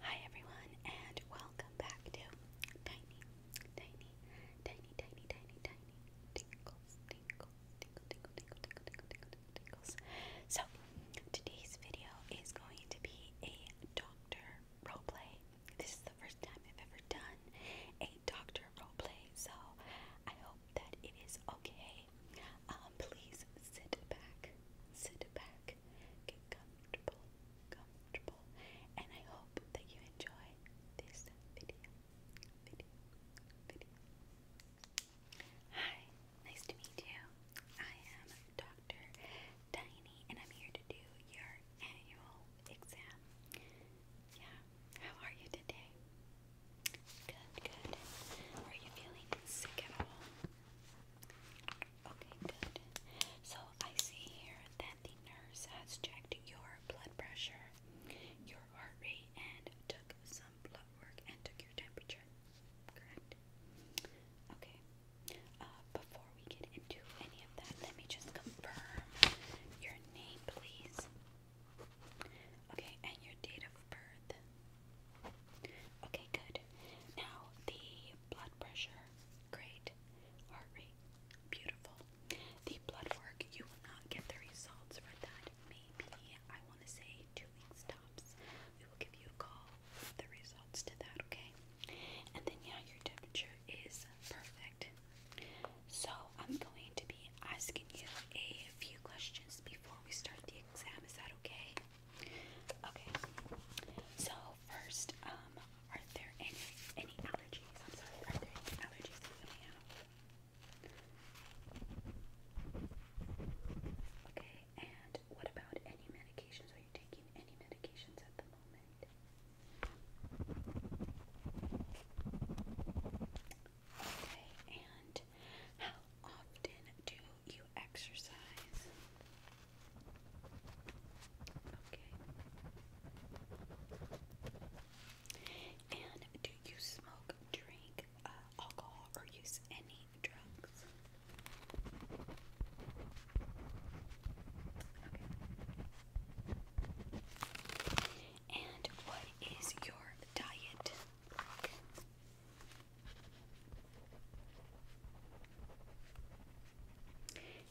Hi everyone and welcome back to Tiny, Tiny, Tiny, Tiny, Tiny, Tiny Tinkles, Tinkles, Tinkle, Tinkle, Tinkle, Tinkle, Tinkle, So today's video is going to be a doctor roleplay. This is the first time I've ever done a doctor roleplay, so I hope that it is okay okay? Um, please sit back, sit back, get comfortable, comfortable, and I hope that you enjoy this video. Hi, nice to meet you. I am Dr. Tiny, and I'm here to do your annual exam. Yeah, how are you today? Good, good. Are you feeling sick at all? Okay, good. So I see here that the nurse has checked your blood pressure, your heart rate, and took some blood work and took your temperature. Correct? Okay. Uh, before we get into any of that, let me just confirm your name, please. Okay, and your date of birth. Okay, good. Now the blood pressure, great. Heart rate, beautiful. The blood work, you will not get the results for that. Maybe I want to say two weeks tops. We will give you a call with the results to that, okay? And then yeah, your temperature is perfect. So, I'm going to be asking you a few questions before we start the exam. Is that okay? Okay. So, first, um, are there any any allergies? I'm sorry, are there any allergies that you may have? Okay, and what about any medications? Are you taking any medications at the moment? Okay, and how often do you exercise? Okay. And do you smoke, drink uh, alcohol, or use any drugs? Okay. And what is your diet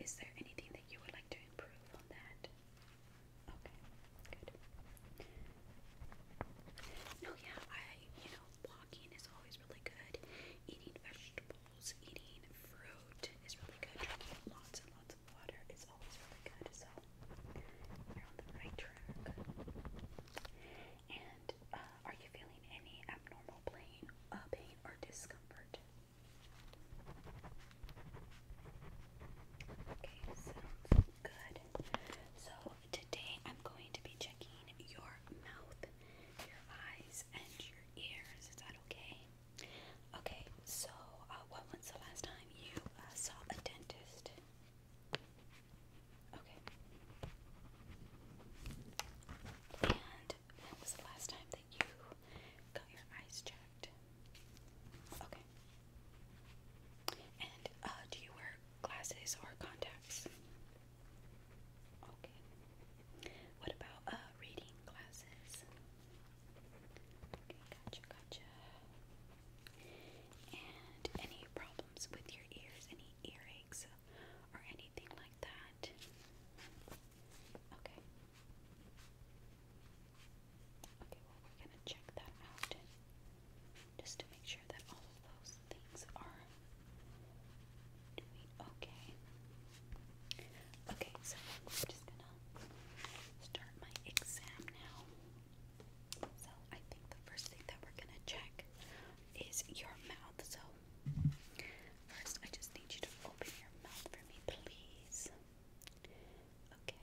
Is there anything that you would like to improve on that? No, yeah, I, you know, walking is always really good. Eating vegetables, eating fruit is really good. lots and lots water is always really good, so you're on the right track. And uh, are you feeling any abnormal pain, uh, pain or discomfort? Okay, sounds good. So today I'm going to be checking your mouth, your eyes, and your ears. Is that okay? Okay, so uh, when was the last time you uh, saw a dentist? Okay. And when was the last time that you got your eyes checked? Okay. And uh, do you wear glasses or contacts? Okay. What about uh, reading glasses? Okay, gotcha, gotcha. And any problems with your ears, any earaches or anything like that? Okay. Okay, well, we're going to check that out just to make sure that all of those things are doing okay. Okay, so I'm just gonna start my exam now. So I think the first thing that we're gonna check is your mouth. So first, I just need you to open your mouth for me, please. Okay.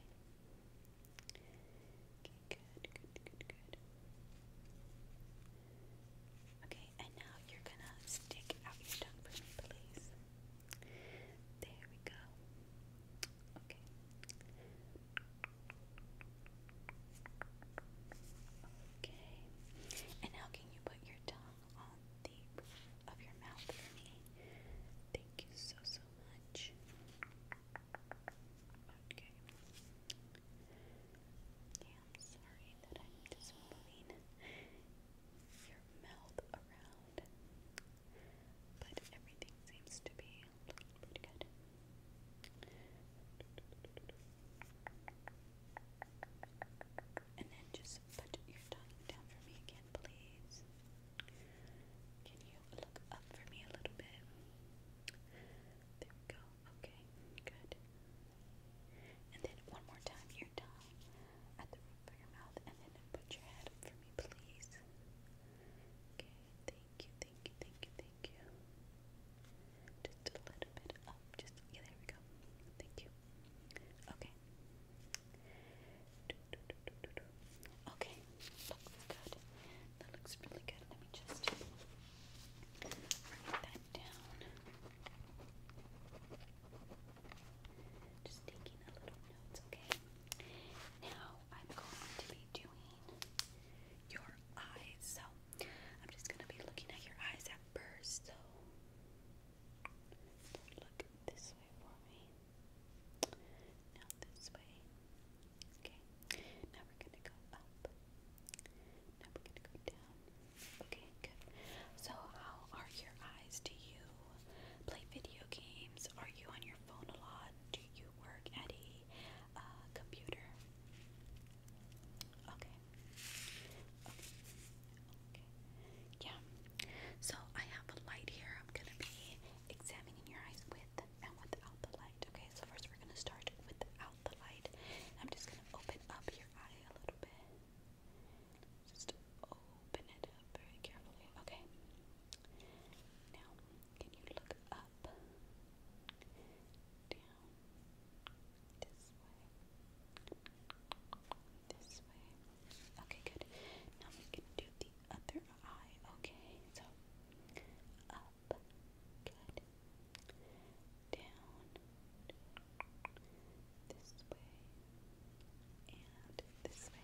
Okay, good, good, good, good. Okay, and now you're gonna stick out your tongue for me, please. There we go. Okay. Okay. And now can you put your tongue on the roof of your mouth for me? Thank you so so much. Okay. Yeah, I'm sorry that I'm just your mouth around. But everything seems to be looking pretty good. And then just put your tongue down for me again, please. Can you look up for me a little bit? There we go. Okay, good. And then one more time, your tongue at the for your mouth and then put your head up for me, please. Okay, thank you, thank you, thank you, thank you. Just a little bit up, just, there we go. Thank you. Okay. Okay, looks good. That looks really good. Let me just write that down. Just taking a little notes, okay? Now I'm going to be doing your eyes. So I'm just going to be looking at your eyes at first. So look this way for me. Now this way. Okay. Now we're going to go up. Now we're going to go down. Okay, So, how are your eyes? Do you play video games? Are you on your phone a lot? Do you work at a uh, computer? Okay. Okay. Okay. Yeah. So, I have a light here. I'm going to be examining your eyes with and without the light. Okay, so first we're going to start without the light. I'm just going to open up your eye a little bit. Just open it up very carefully. Okay. Now, can you look up, down, this way, this way? Okay, good. Now we can do the other eye. Okay, so up, good, down this way and this way.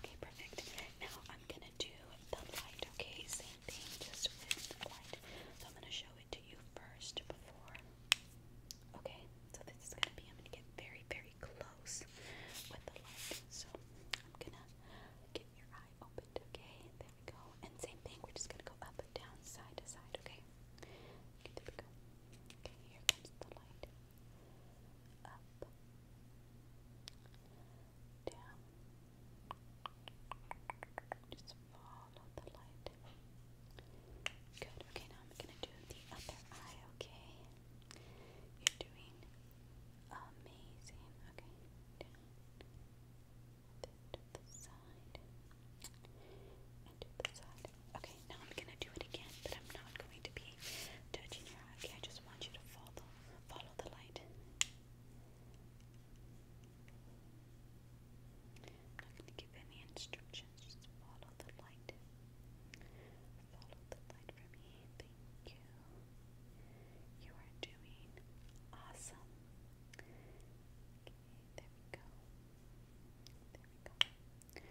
Okay, perfect. Now I'm gonna do the light, okay? Same thing, just with the light. So I'm gonna show it to you first before. Okay, so this is gonna be, I'm gonna get very, very close with the light. So I'm gonna get your eye opened, okay? There we go. And same thing, we're just gonna go up, down, side to side, okay? Okay, here comes the light. Up. Down. Just follow the light. Good. Okay, now I'm gonna do the other eye, okay? You're doing amazing. Okay. Okay, now I'm gonna do it again, but I'm not going to be touching your Okay, I just want you to follow follow the light. I'm not gonna give any instructions, just follow the light. Follow the light from me. Thank you. You are doing awesome there we go. There we go.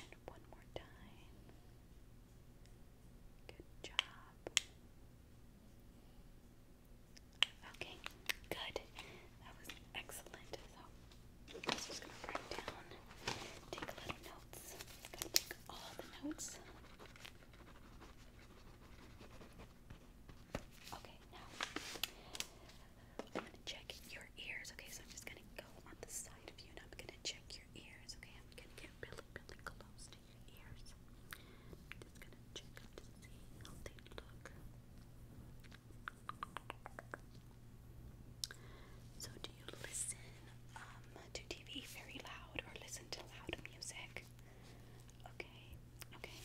And one more time. Good job. Okay, good. That was excellent. So, I'm just gonna write down, take little notes. Gotta take all the notes. Okay, now I'm gonna check your ears. Okay, so I'm just gonna go on the side of you and I'm gonna check your ears. Okay, I'm gonna get really, really close to your ears. So, do you listen um, to TV very loud or listen to loud music? Okay, okay.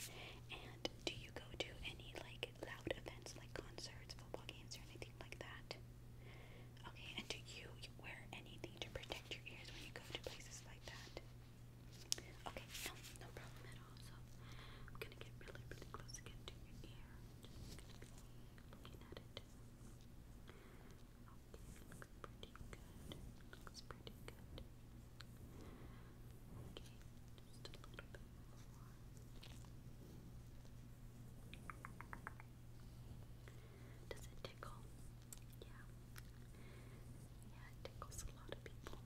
And do you go to any like loud events like concerts, football games, or anything like that? Okay, and do you, you wear anything to protect your ears when you go to places like that? Okay, no, no problem at all. So I'm gonna get really, really close again to your ear. Just gonna be looking at it. Okay, looks pretty good. Looks pretty good. Okay, just Does it tickle? Yeah. Yeah, tickles a lot of people.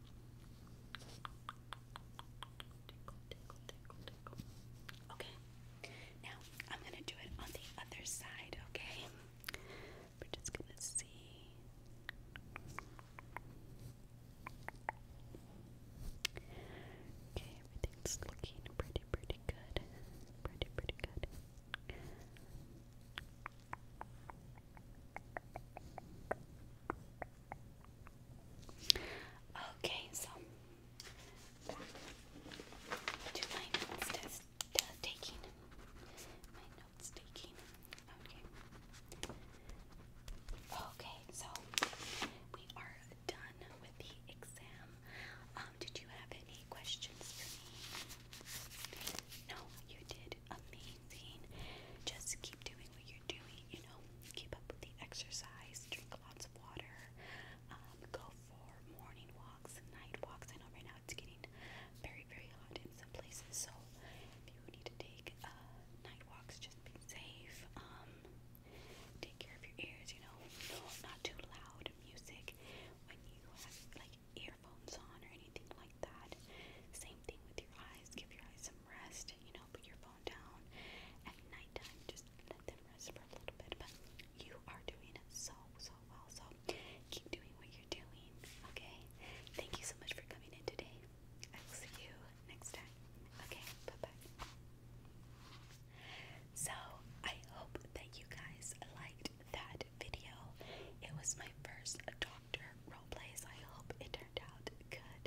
Okay. Now, I'm going to do it on the other side, okay? We're just gonna see. Okay, everything's looking pretty, pretty good. Pretty, pretty good. Okay, so to my test, uh, taking, my notes taking. Okay. so we are done with the exam. Um, did you have any questions for me? No, you did amazing. Just keep doing what you're doing, you know, keep up with the exercise, drink lots of water, um, go for morning walks night walks. I know right now it's getting very very, hot in some places. So if you need to take uh, night walks, just be safe. Um, take care of your ears. You know, not too loud music when you have like earphones on or anything like that. Same thing with your eyes. Give your eyes some rest. You know, put your phone down at nighttime. Just let them rest for a little bit. you are doing so, so so keep doing what you're doing, okay? Thank you so much for coming in today. I will see you next time. Okay, bye bye. So I hope that you guys liked that video. It was my first doctor roleplay, so I hope it turned out good.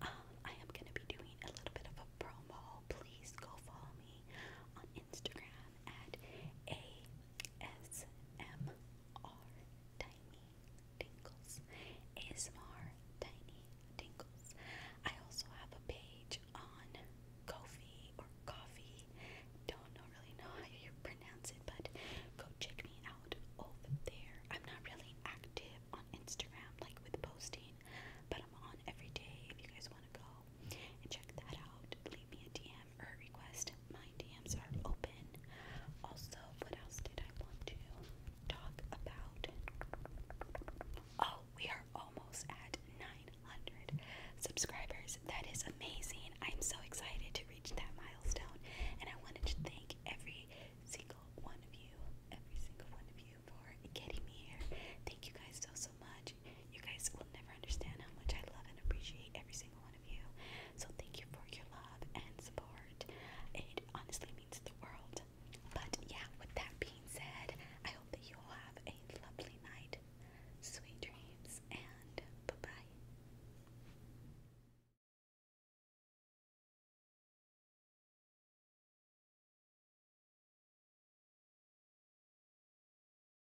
Um, I am gonna be doing a little bit of a promo. Please go follow me on Instagram at ASM are Tiny Tingles. ASMR Tiny Tingles. I also have a page on Kofi or Coffee. Don't know, really know how you pronounce it, but go check me out over there. I'm not really active on Instagram, like with posting, but I'm on every day if you guys want to go and check that out leave me a DM or a request. My DMs are open. Also, what else did I want to talk about? Oh, we are almost at 900 subscribers. That is amazing. I'm so excited to reach that milestone. And I wanted to thank every single one of you, every single one of you for getting me here. Thank you guys so, so much. You guys will never understand how much I love and appreciate every single one of you. So thank you for your love and support. It honestly means the world. But yeah, with that being said, I hope that you all have a lovely night, sweet dreams, and bye bye.